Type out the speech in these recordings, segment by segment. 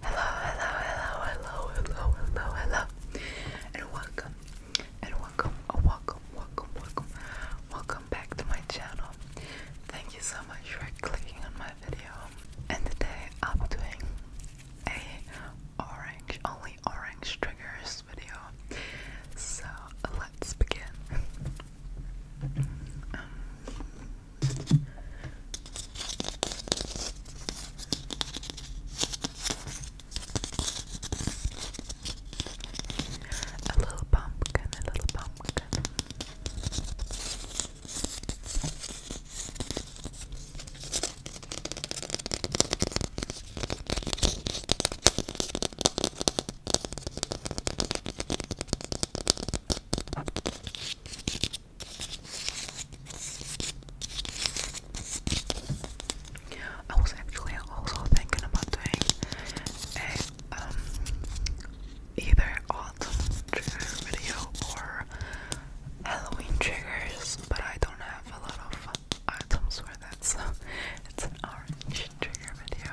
Hello, hello, hello, hello, hello, hello, hello, and welcome, and welcome, oh, welcome, welcome, welcome, welcome back to my channel. Thank you so much for clicking on my video. And today i am doing a orange, only orange triggers video. So let's begin. Um, a little pumpkin, a little pumpkin. I was actually also thinking about doing a um either autumn trigger video or Halloween triggers, but I don't have a lot of items where that's so it's an orange trigger video.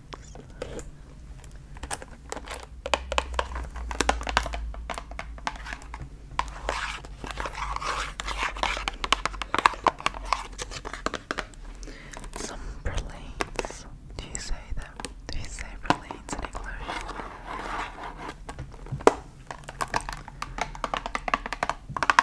Some pralines. Do you say that? Do you say pralines in English?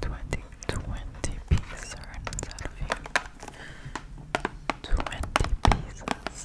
Twenty, twenty pieces are of you. Twenty pieces.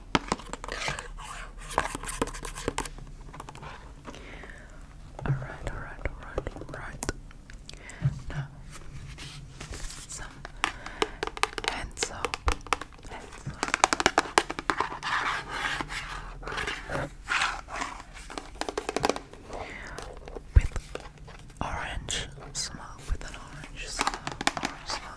Alright, alright, alright, alright. Now, some hand soap. With orange smell, with an orange smell, orange smell,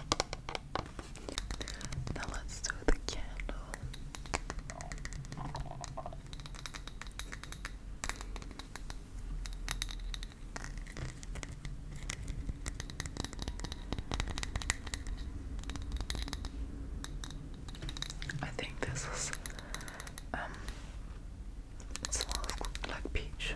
Now let's do the candle. I think this is um smells like peach.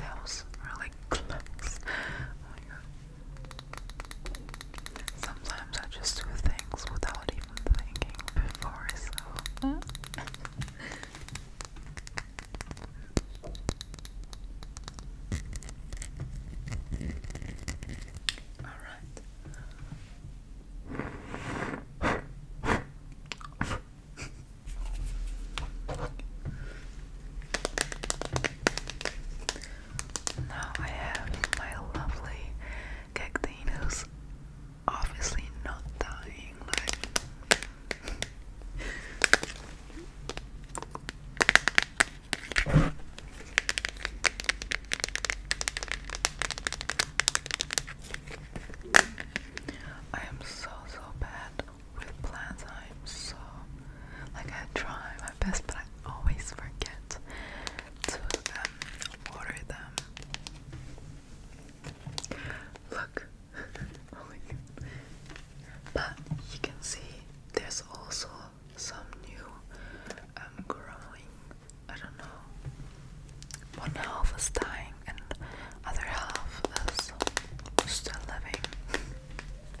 That was really close. Oh my god. Sometimes I just do things without even thinking before, so. Alright. Now I have my lovely cactinus, obviously not dying. I am so so bad with plans. I'm so like I try my best, but I always forget to um, order them. Look, oh but you can see there's also some new um, growing. I don't know. One half is dying and other half is still living.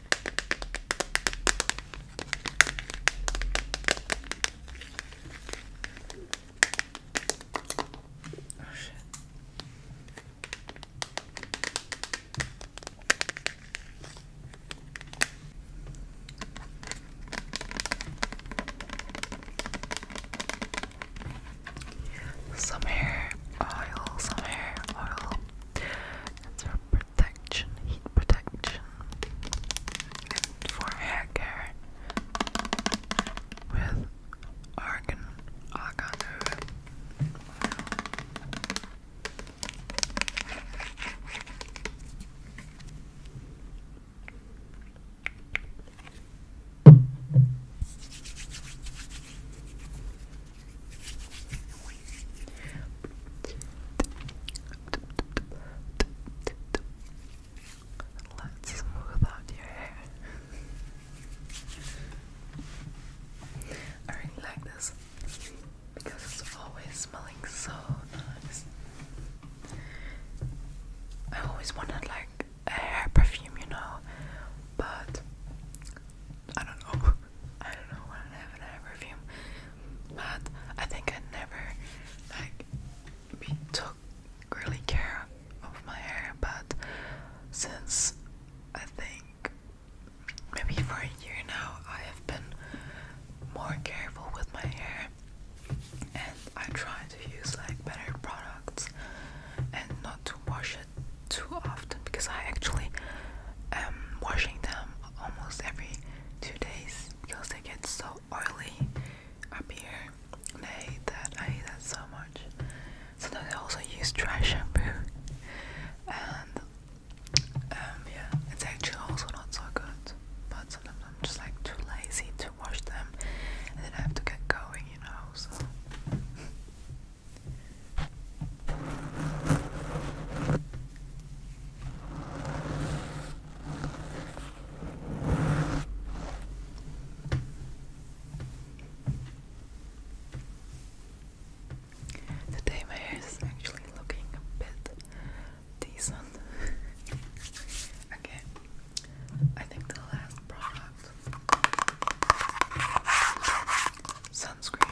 Oh shit. Some hair oil, some hair oil protection, heat protection, and for hair care with argan argan Let's smooth out your hair. I like this because it's always smelling so nice. I always wanted like a hair perfume, you know, but I don't know. I don't know when I have an hair perfume but I think I never like took really care of my hair but since I think maybe for a year now I have been more careful with my hair and I try to use like better products and not to wash it too often because I actually am washing them almost every two days because they get so oily up here. I hate that. I hate that so much. Sometimes I also use dry shampoo. And um yeah, it's actually also not so good. But sometimes I'm just like too lazy to wash them and then I have to get going, you know, so Today my hair is actually looking a bit decent. okay, I think the last product sunscreen.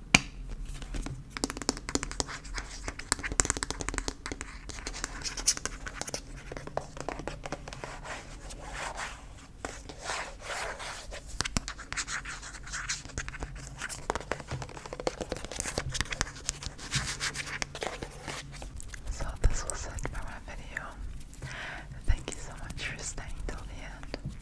So this was it for my video. Thank you so much for staying till the end.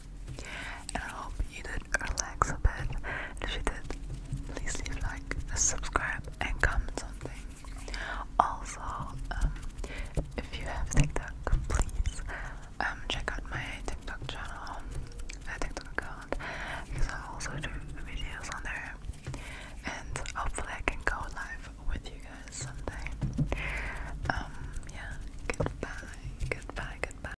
And I hope you did relax a bit. And if you did, please leave like, subscribe, and comment something. Also, um, if you have TikTok, please um, check out my TikTok channel, my TikTok account, because I also do videos on there. And hopefully, I can go live with you guys someday. Um, yeah, goodbye, goodbye, goodbye.